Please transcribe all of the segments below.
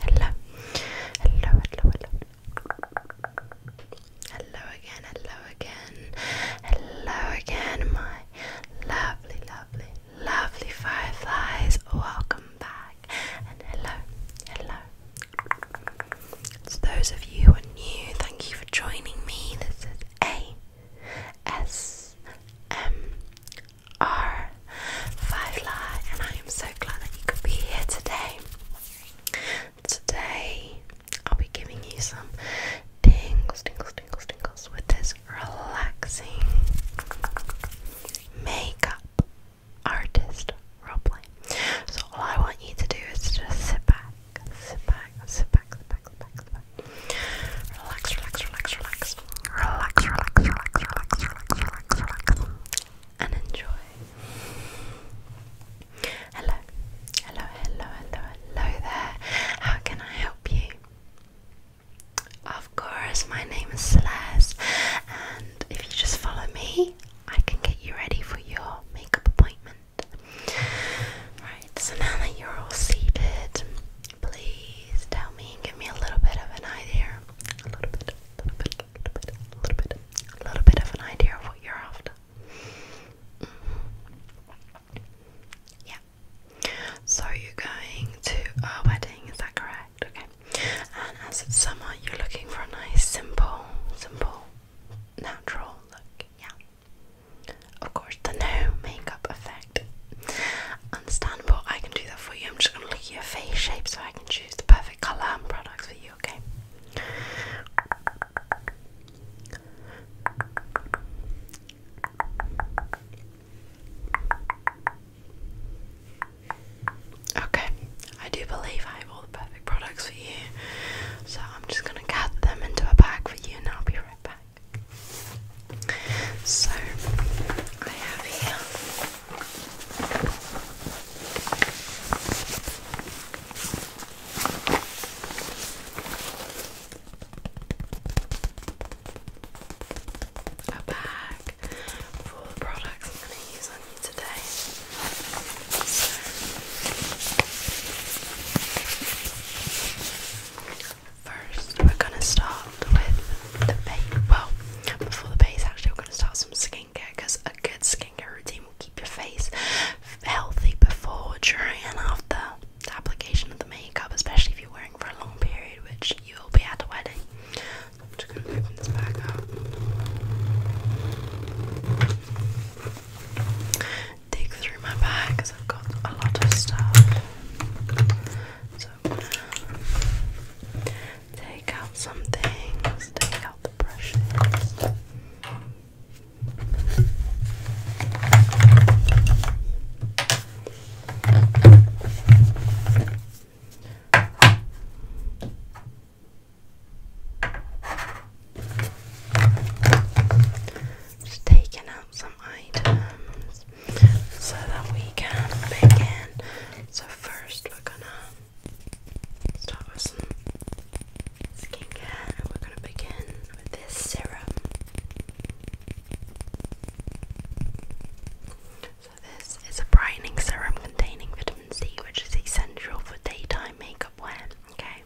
Hello. Hello, hello, hello. Hello again, hello again. Hello again, my lovely, lovely, lovely fireflies. Welcome back. And hello, hello. So those of you who are new, thank you for joining me. This is A S M R M R. Five Firefly, and I am so glad that you could be here today. Today, I'll be giving you some tingles, tingles, tingles, tingles with this relaxing makeup artist roleplay. So all I want you to do is just sit back, sit back, sit back, sit back, sit back, sit back. Relax, relax, relax, relax. Relax, relax, relax, relax, relax, relax, relax. And enjoy. Hello. Hello, hello, hello, hello there. How can I help you? Of course, my name is Celeste, and if you just follow me, I can get you ready for your makeup appointment. Right, so now that you're all seated, please tell me and give me a little bit of an idea. A little bit, a little bit, a little bit, a little bit, a little bit of an idea of what you're after. Mm-hmm. Yeah. So you're going to a wedding, is that correct? Okay. And as it's summer, you're looking for a nice, simple, simple, natural look. Yeah. Of course, the no makeup effect. Understandable. I can do that for you. I'm just gonna look at your face shape so I can choose the perfect color and products for you. Okay, Okay, I do believe I have all the perfect products for you, so I'm just going to gather them into a bag for you and I'll be right back. So, I have here a bag for I'm going to first, we're going to start with the base. Well, before the base, actually, we're going to start some skincare because a good skincare routine will keep your face healthy before, during, and after the application of the makeup, especially if you're wearing for a long period, which you'll be at the wedding. I'm just going to open this bag up. Dig through my bag I've got a lot of stuff. So take out some take out the brushes. Just taking out some items so that we can begin. So, first, we're gonna start with some skincare and we're gonna begin with this serum this is a brightening serum containing vitamin C, which is essential for daytime makeup wear. Okay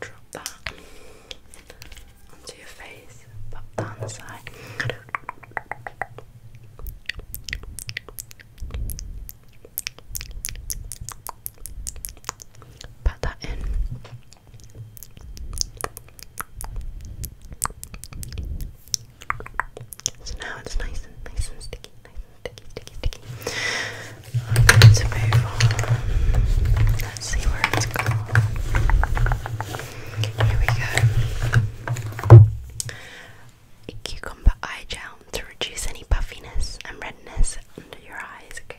drop that onto your face, pop down the side. Pat that in. So now it's nice and nice and sticky, nice sticky, sticky, sticky. I'm going to move on. Let's see where it's Here we go. A cucumber eye gel to reduce any puffiness and redness under your eyes. Okay.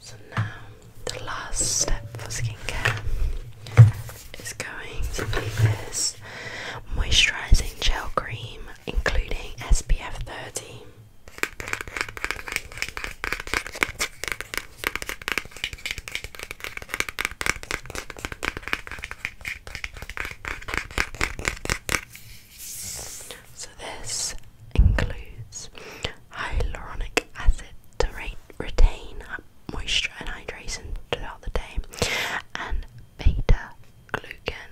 So now the last step for skincare is going to be this moisturizing gel cream including SPF 30. So, this includes hyaluronic acid to retain moisture and hydration throughout the day, and beta glucan.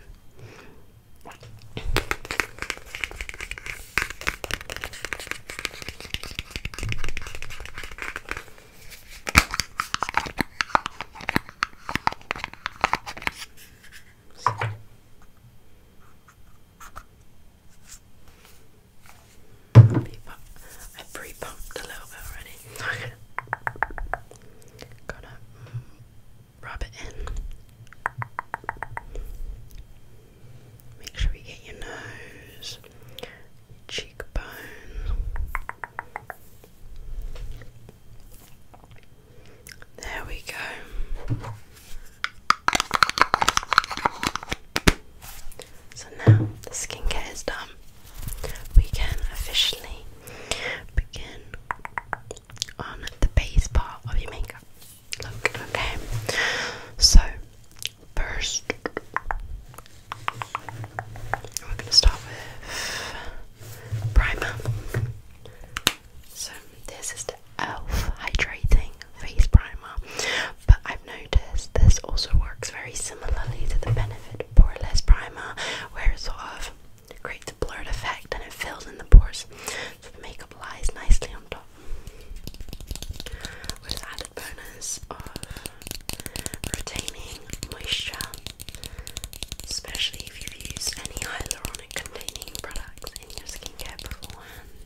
I pre pumped a little bit already. Gotta mm, rub it in. Make sure you get your nose, your There we go. So now the skincare is done. We can officially begin on the base part of your makeup look. Okay, so first we're going to start with primer. So, this is the e.l.f. hydrating face primer, but I've noticed this also works very similarly to the Benefit Poreless primer, where it sort of creates a blurred effect and it fills in the pores, so the makeup lies nicely on top. With added bonus of retaining moisture, especially if you've used any hyaluronic containing products in your skincare beforehand.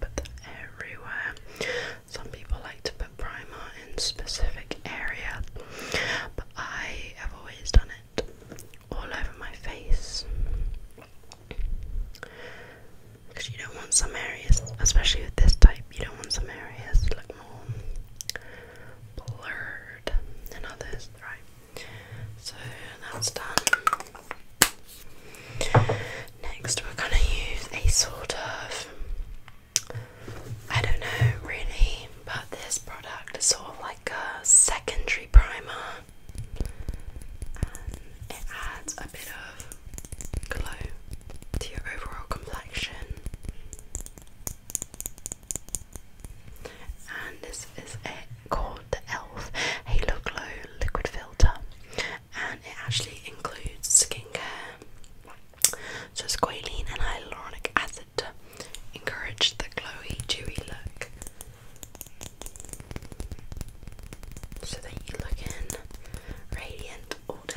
Put that everywhere. Some people like to put primer in specific areas, but I have always done it all over my face. Because you don't want some areas, especially with this type, you don't want some areas look more blurred than others, right? So that's done. Next, we're going to use a sort of I don't know really, but this product is sort of like a secondary primer and it adds a bit of glow to your overall complexion. And this is it called the e.l.f. Halo Glow Liquid Filter, and it actually includes skincare. So it's squalene and hyaluronic acid to encourage the glowy, dewy look. So that you are looking radiant all day.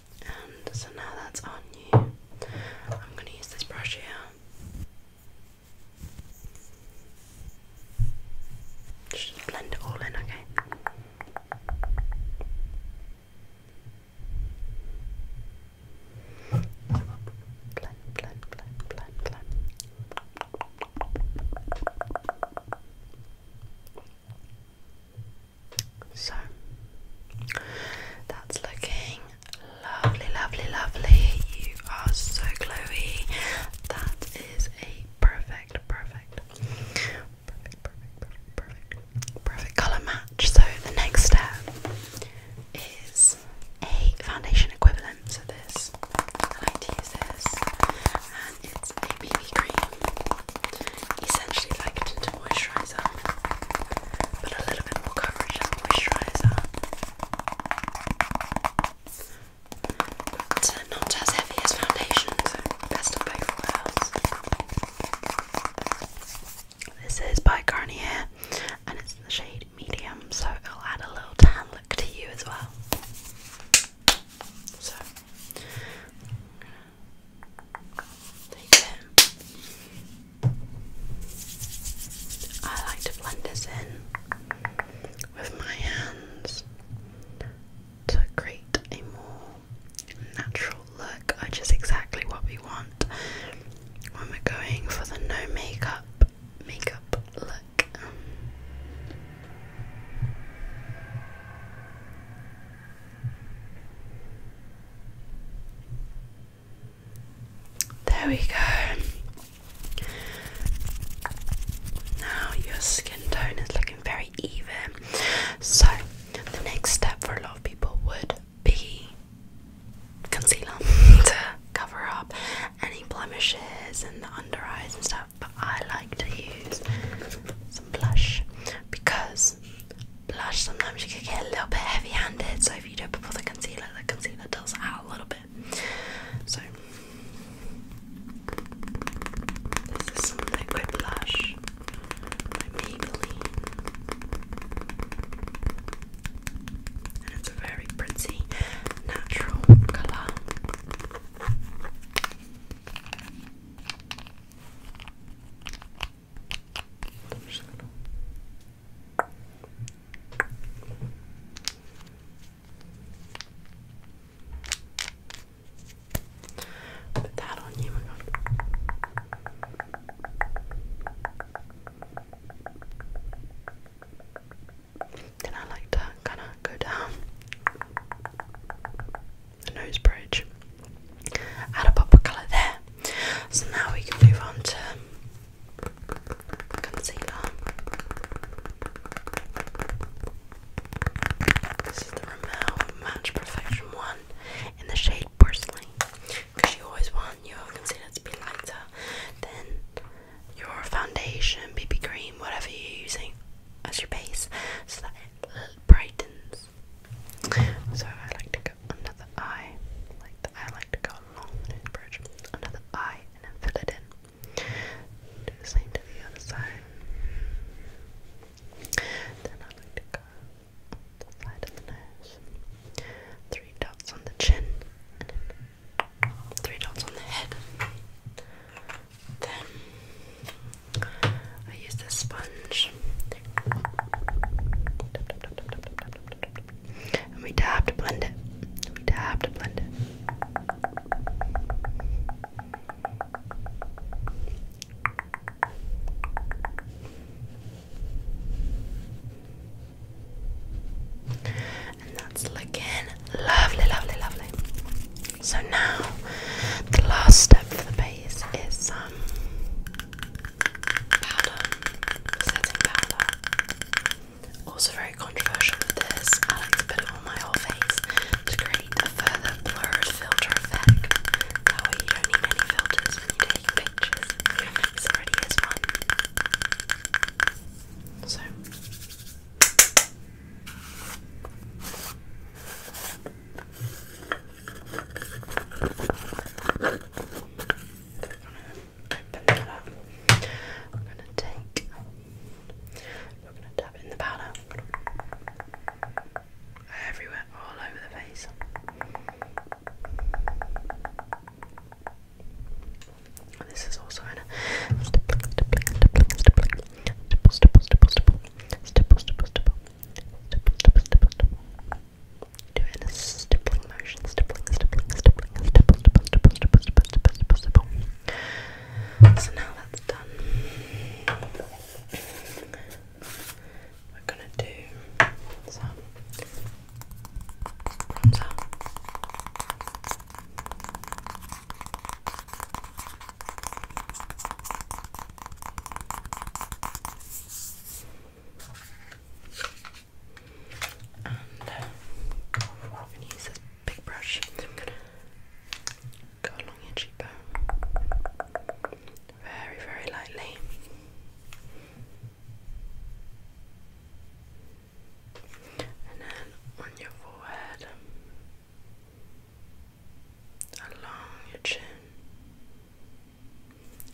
and um, so now that's on you. I'm going to use this brush here. Just blend it all in, okay? Blend, blend, blend, blend, blend. So that's looking lovely, lovely, lovely. You are so glowy. That is a perfect, perfect, perfect, perfect, perfect, perfect, perfect colour match. So the next step is a foundation equivalent. So this, I like to use this, and it's a BB cream essentially like tinted moisturiser, but a little bit more coverage than moisturiser, but uh, not as heavy as foundation, so best of both worlds. This is by Garnier, and it's in the shade medium, so i will add a little tan look to you as well. So, Take that. I like to blend this in with my hands to create a more natural look, which is exactly what we want when we're going for the no makeup makeup look. There we go. Now your skin tone is looking very even. So, the next step for a lot of people would be concealer to cover up any blemishes and the under eyes and stuff. But I like to use some blush because blush. Sometimes you can get a little bit heavy-handed, so if you do it before the concealer, the concealer does out a little bit. So this is some liquid blush by Maybelline, and it's a very pretty natural color i put that on you. Then I like to kind of go down the nose bridge. Add a pop of colour there. So now we can move on to concealer. This is the Rimmel Match Perfection one in the shade Porcelain. Because you always want your concealer to be lighter than your foundation, BB cream, whatever you're using as your base, so that it brightens so I like to go under the eye, I like to go along the bridge, under the eye, and then fill it in. Do the same to the other side. Then I like to go on the side of the nose, three dots on the chin, three dots on the head. Then I use the sponge. And we dab to blend it. We dab to blend it. And that's looking lovely, lovely, lovely. So now the last step for the base is some um, powder, setting powder. Also very controversial with this. I like to put it on my whole face to create a further blurred filter effect. That way you don't need any filters when you take pictures. This already is one. So Open that I'm gonna take. We're gonna dab it in the powder. Everywhere, all over the face. this is also in a stipple, stipple, stipple, stipple, stipple, stipple, stipple, stipple, stipple, stipple, stipple, stipple, stipple. Do it in a stippling motion, stippling, stippling, stippling, stipple, stipple, stipple, stipple, stipple, stipple, stipple, stipple. So now that's done. We're gonna do some bronzer. And uh, use this big brush. I'm going to go along your cheekbone very, very lightly. And then on your forehead, along your chin.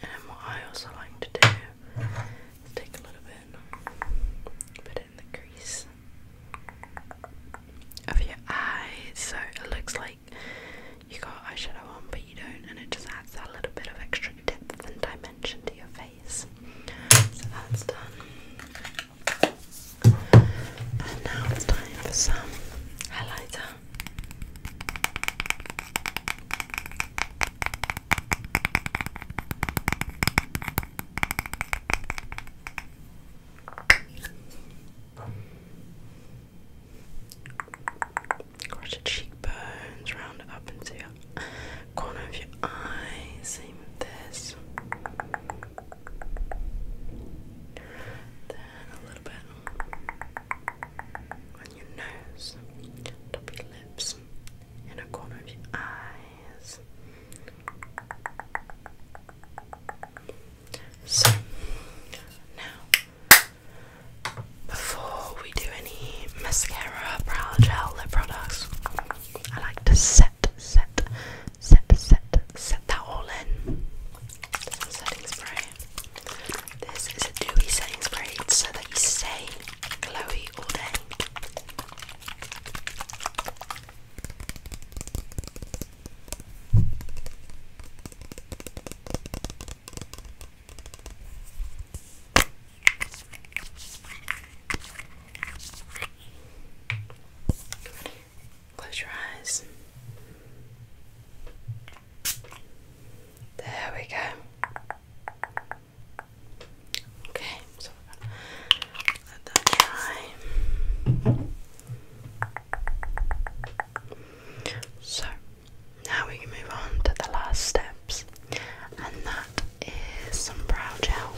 And I also like to do take a little bit, put it in the crease of your eye so it looks like you got eyeshadow on but you don't, and it just adds that little bit of extra depth and dimension to your face. So that's done. And now it's time for some highlighter. Across your cheekbones, round it up into your corner of your eye. Same this a little bit on your nose, top your lips, in corner of your eyes. So now, before we do any mascara, brow gel, lip products, I like to set, set, set, set, set that all in. setting spray. This is a dewy setting spray so that you stay glowy all day. Close your eyes. There we go. Okay, so now we can move on to the last steps, and that is some brow gel.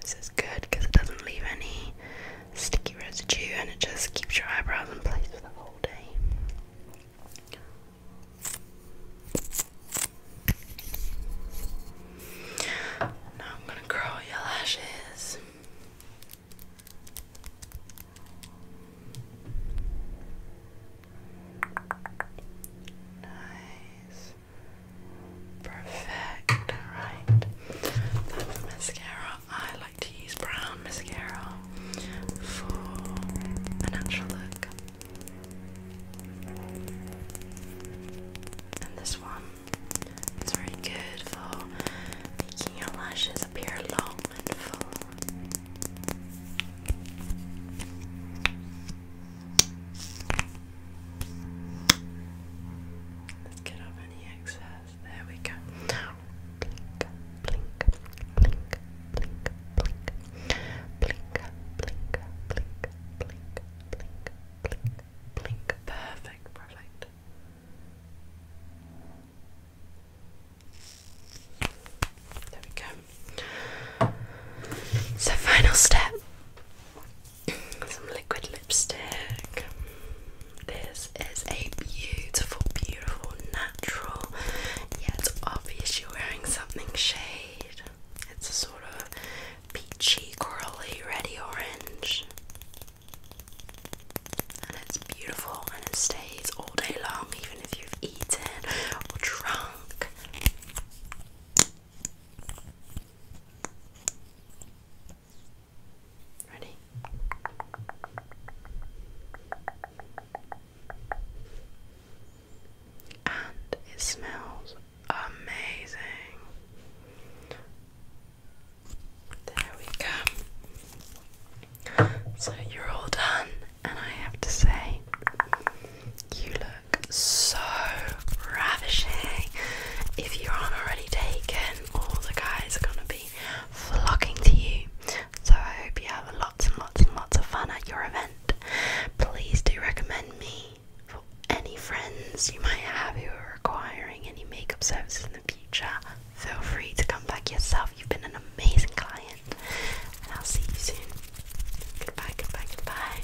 This is good because it doesn't leave any sticky residue and it just keeps your eyebrows in place for the whole day. Now I'm going to curl your lashes. Nice. Perfect. Alright. mascara. I like to use brown mascara for a natural look. And this one is very good for making your lashes appear long and full. Let's get off any excess. There we go. blink, blink, blink, blink, blink, blink, blink, blink, blink, blink, blink, Perfect, perfect. There we go. So, final step some liquid lipstick. This is a beautiful, beautiful, natural, yet obvious wearing something shade. It's a sort of peachy, corally, ready orange. And it's beautiful and it stays all day long, even if you've eaten or drunk. Ready? and it smells amazing. There we go. So you're all done, and I have to say, you look so ravishing. If you aren't already taken, all the guys are going to be flocking to you. So I hope you have lots and lots and lots of fun at your event. Please do recommend me for any friends you might have who are requiring any makeup services in the future. Feel free to come back yourself. You've been an amazing client. And I'll see you soon. Goodbye, goodbye, goodbye.